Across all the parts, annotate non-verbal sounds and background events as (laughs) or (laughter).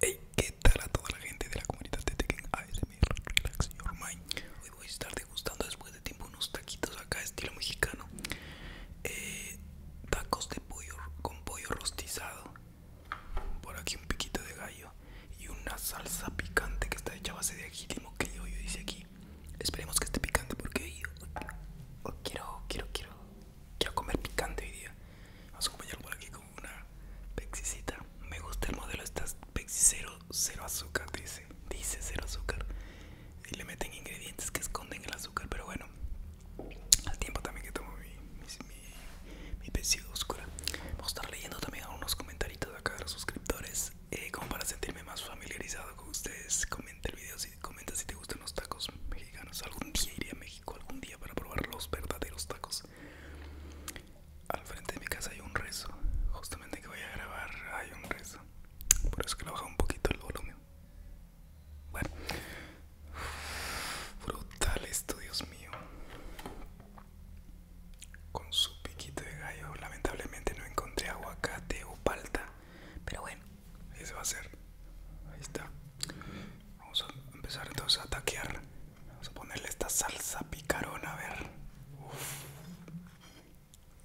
Hey, ¿qué tal a toda la gente de la comunidad de Tekken ASMR Relax Your Mind? Hoy voy a estar degustando después de tiempo unos taquitos acá estilo mexicano eh, Tacos de pollo con pollo rostizado Por aquí un piquito de gallo Y una salsa picante que está hecha a base de ají que yo, yo dice aquí Esperemos que esté picante porque quiero, quiero, quiero Quiero comer picante hoy día. Vamos a acompañar por aquí con una pexicita. Me gusta el modelo, estas pexi cero, azúcar, dice. Dice cero azúcar. Y le meten ingredientes que esconden el azúcar, pero bueno. Al tiempo también que tomo mi, mi, oscura. Voy a estar leyendo también algunos comentarios de acá de los suscriptores. Eh, como para sentirme más familiarizado con ustedes, comenta el video si comenta si te gustan los tacos mexicanos. Algún día iré a México, algún día para probar los verdaderos tacos. Al frente de mi casa hay un rezo. Justamente que voy a grabar hay un rezo. Por eso que lo bajo un poquito el volumen. Bueno. Brutal esto, Dios mío. Con su piquito de gallo. Lamentablemente no encontré aguacate o palta. Pero bueno, se va a ser. Ahí está. Vamos a empezar entonces a taquear. Vamos a ponerle esta salsa picarona, a ver.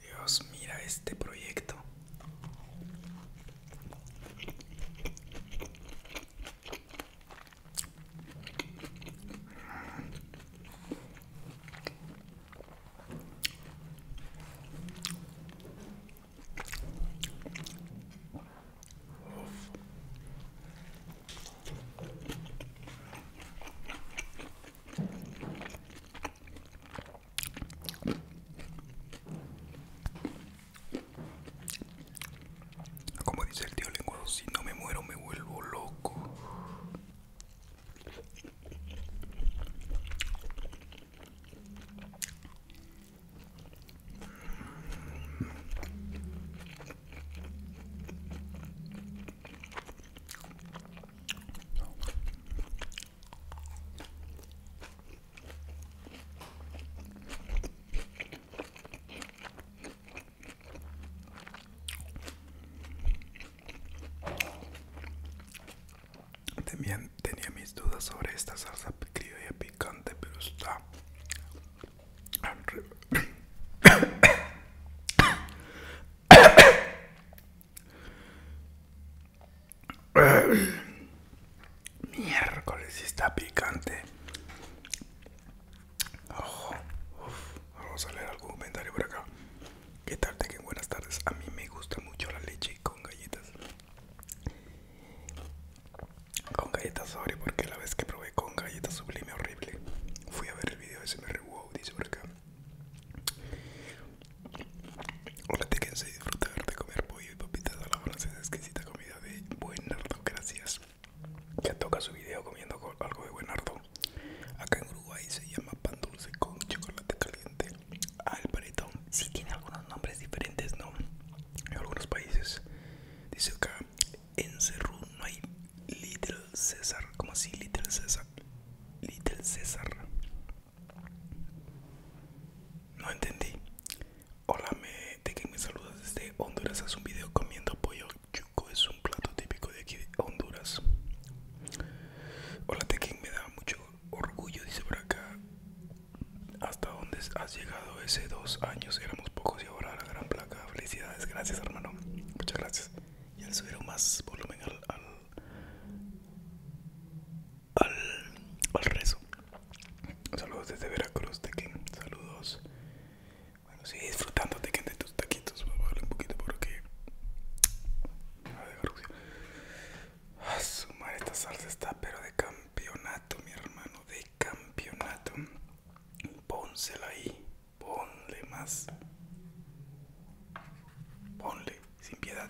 Dios, mira este proyecto. Como dice el tío lenguado, si no me muero me vuelvo loco. También tenía mis dudas sobre esta salsa y picante, pero está Miércoles está picante. Ojo vamos a leer algún comentario por acá. ¿Qué tal? Te buenas tardes. A mí me gusta mucho la leche con galletas con galletas sobre porque la vez que probé con galletas sublime horrible fui a ver el video de SMR Wow dice por acá hola te y disfrutar de comer pollo y papitas a la francesa exquisita comida de buenardo gracias ya toca su video comiendo algo de buenardo acá en Uruguay se llama pan dulce con chocolate caliente al si tiene algunos nombres diferentes no en algunos países dice acá en Cerro no hay Little César. ¿Cómo así Little César? Little César. No entendí. Hola, me, que me saludas desde Honduras. Haz un video comiendo pollo chuco. Es un plato típico de aquí de Honduras. Hola que me da mucho orgullo, dice por acá. ¿Hasta dónde has llegado ese dos años? Éramos pocos ahora la gran placa. Felicidades, gracias hermano. Muchas gracias. Y al subir más volumen al, al, rezo. Saludos desde Veracruz, que Saludos. Bueno, sigue disfrutando, de que de tus taquitos. Voy a un poquito porque... A ver, ah, su esta salsa está pero de campeonato, mi hermano. De campeonato. Pónselo ahí, ponle más. Ponle, sin piedad.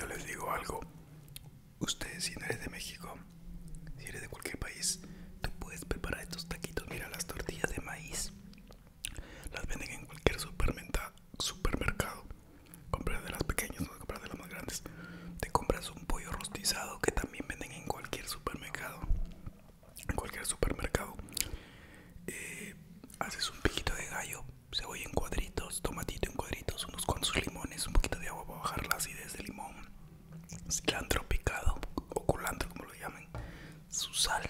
Yo les digo algo, Ustedes si no eres de México, si eres de cualquier país, tú puedes preparar estos taquitos. Mira, las tortillas de maíz las venden en cualquier supermercado. Compras de las pequeñas, no compras de las más grandes. Te compras un pollo rostizado que también venden en cualquier supermercado. En cualquier supermercado. Eh, haces un piquito de gallo, Se cebolla en cuadritos tomatito en cuadritos, unos cuantos limones, un poquito de agua para bajar la acidez del limón, cilantro picado o culantro como lo llamen, su sal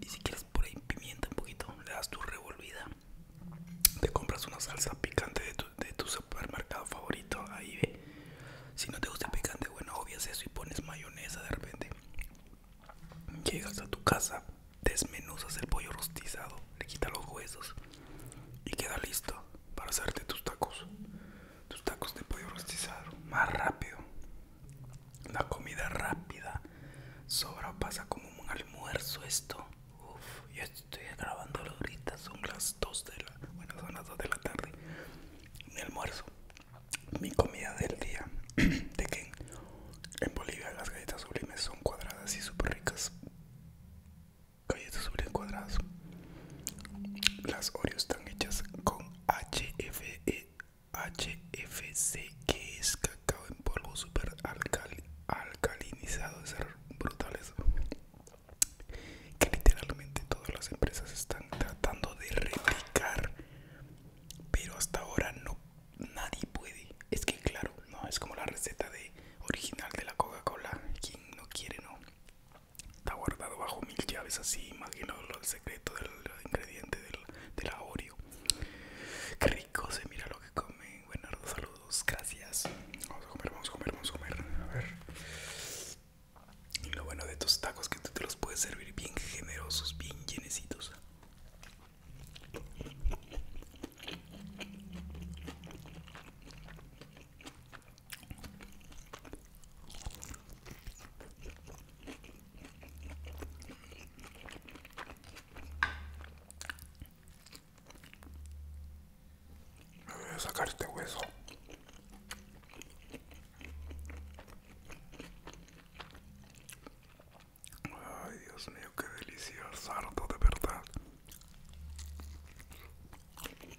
y si quieres por ahí pimienta un poquito, le das tu revolvida, te compras una salsa picante de tu, de tu supermercado favorito, ahí ve, si no te gusta el picante, bueno, obvias eso y pones mayonesa de repente, llegas a tu casa, desmenuzas el pollo rostizado, le quitas los huesos, y queda listo para hacerte tus tacos, tus tacos te pollo rostizado, más rápido. La comida rápida sobra, pasa como un almuerzo esto. Uff, yo estoy grabando ahorita, son las 2 de la, bueno, son las 2 de la tarde. Mi almuerzo, mi comida del día. (clears throat) de que en Bolivia las galletas sublimes son cuadradas y súper ricas. Cayetos sobre cuadradas. Las Oreos están hechas con HFE, HFC, que es cacao en polvo super alcalinizado. es brutal eso Que literalmente todas las empresas están tratando de replicar, pero hasta ahora no nadie puede. Es que claro, no es como la receta de original de la Coca-Cola. Quien no quiere no. Está guardado bajo mil llaves así, imagino el secreto del ingrediente del, de Oreo. Qué rico se mira lo que comen. los saludos, gracias. Vamos a comer, vamos a comer, vamos a comer. A ver. Y lo bueno de estos tacos que tú te los puedes servir bien generosos, bien llenecitos. Me voy a sacar este hueso. Ay, Dios mío, qué delicioso, sarto de verdad.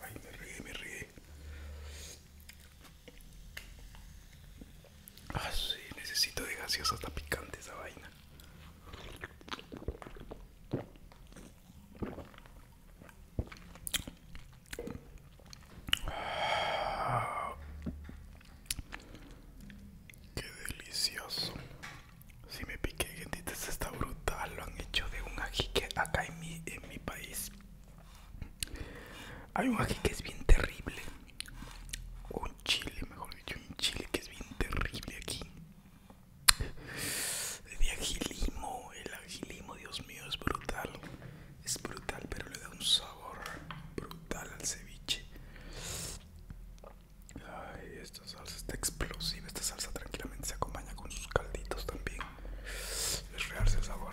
Ay, me ríe, me ríe. Ah, sí, necesito de gaseosa hasta picante esa vaina. Qué delicioso. Si me piqué, esto está brutal. Lo han hecho de un ají que acá en mi, en mi país. Hay un ají que es bien terrible. Un chile, mejor dicho, un chile que es bien terrible aquí de agilimo. El agilimo, Dios mío, es brutal. Es brutal, pero le da un sabor brutal al ceviche. Ay, esta salsa está explosiva. Esta salsa tranquilamente se acompaña con sus calditos también. Es realce el sabor.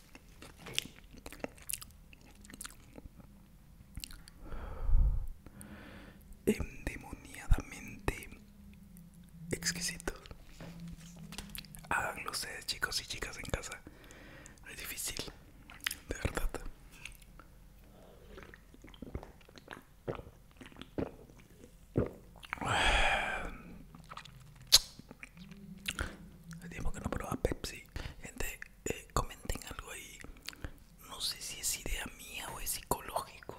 endemoniadamente exquisito. Háganlo ustedes, chicos y chicas en casa. Es difícil, de verdad. El tiempo que no probaba Pepsi, gente, eh, comenten algo ahí. No sé si es idea mía o es psicológico,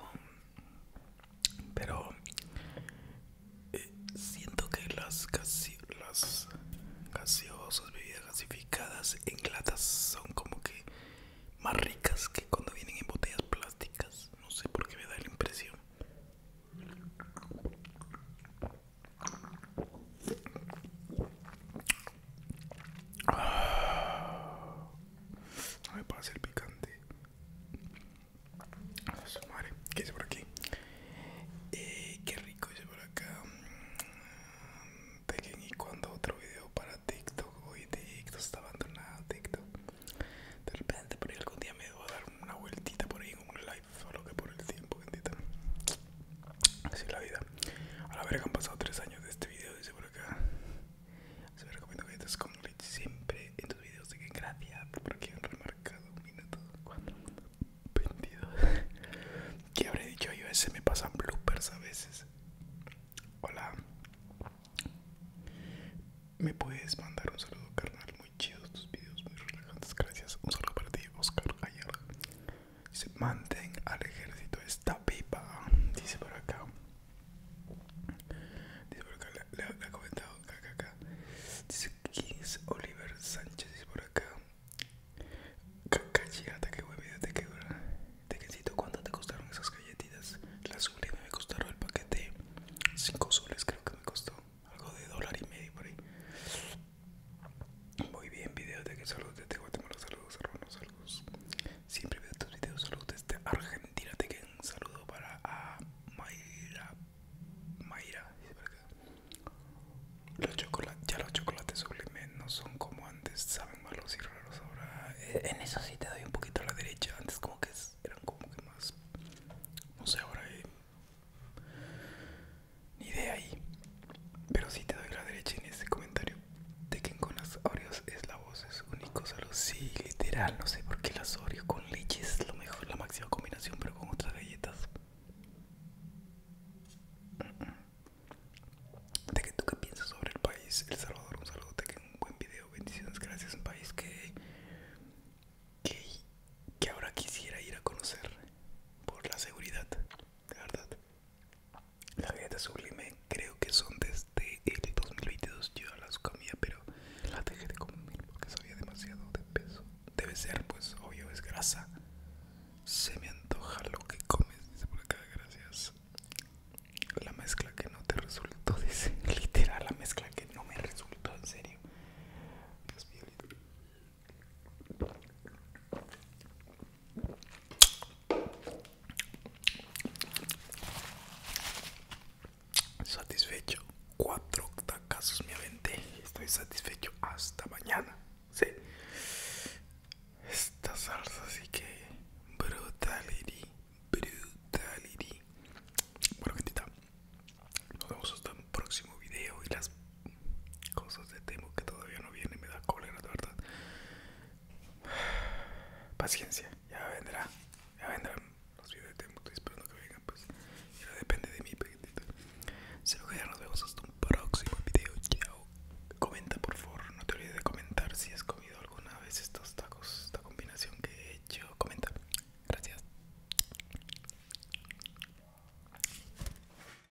pero eh, siento que las, las gaseosas, bebidas gasificadas en latas son como que más ricas que cuando vienen en botellas plásticas. No sé por qué me da la impresión. No me pasa el picante. A ¿Qué hice por aquí? Eh, qué rico hice por acá. que y cuando otro video para TikTok. Hoy TikTok está abandonado. TikTok. De repente por ahí algún día me debo dar una vueltita por ahí en un live solo que por el tiempo, bendita. Así es la vida. A la verga han pasado 3 años de este video, dice por acá. Se me recomiendo que estés con siempre en tus videos. Así que gracias por aquí han remarcado un minuto, 4 22. ¿Qué habré dicho yo? A veces me pasan bloopers a veces. Hola. Me puedes mandar un saludo, carnal. Muy chidos tus videos, muy relajantes. Gracias. Un saludo para ti, Oscar Gallardo. Dice, mantén al ejército esta pipa. Dice por acá. Dice por acá, le, he ha comentado Dice es Oliver Sánchez. Dice por acá. Cachigata, qué buen video te quedó. ¿cuánto te costaron esas galletitas? Las sublime me costaron el paquete 5 soles, creo que me costó. Algo de dólar y medio por ahí. Muy bien, video de que saludos desde Guatemala, saludos hermanos, saludos. Siempre veo tus videos, saludos desde Argentina. Te que un saludo para a ah, Mayra. Mayra, los chocolates, ya los chocolates sublimes no son como antes, saben malos y raros ahora. Eh, en eso sí te doy un poquito a la derecha, antes como que eran como que más. No sé, ahora eh ni idea ahí. Pero sí te doy la derecha en este comentario. que con las Oreos es la voz, es único salud. Sí, literal, no sé por qué las Oreos con leche es lo mejor, la máxima combinación, pero con otras galletas. que ¿tú qué piensas sobre el país? El Salvador, un saludo, Tekken, un buen video, bendiciones, gracias, un país que, que, que ahora quisiera ir a conocer por la seguridad, de verdad. La dieta sublime creo que son desde el 2022. Yo las comía, pero la dejé de comer porque sabía demasiado de peso. Debe ser, pues, obvio, es grasa. Se me antoja lo que comes, dice por acá, gracias. La mezcla que no te resultó, (laughs) dice literal, la mezcla que no me resultó, en serio. Satisfecho, cuatro casos Mi mente Estoy satisfecho hasta mañana. Sí, esta salsa Así que brutality, brutality. Bueno, gente nos vemos hasta un próximo video y las cosas de Temu que todavía no vienen, me da cólera, de verdad. (sighs) Paciencia, ya vendrá, ya vendrán los videos de Temu, estoy esperando que vengan, pues. Ya depende de mí, pequeñito. Se lo que ya nos vemos hasta un próximo video. Chao. Comenta, por favor, no te olvides de comentar si has comido alguna vez estos tacos, esta combinación que he hecho. Comenta. Gracias.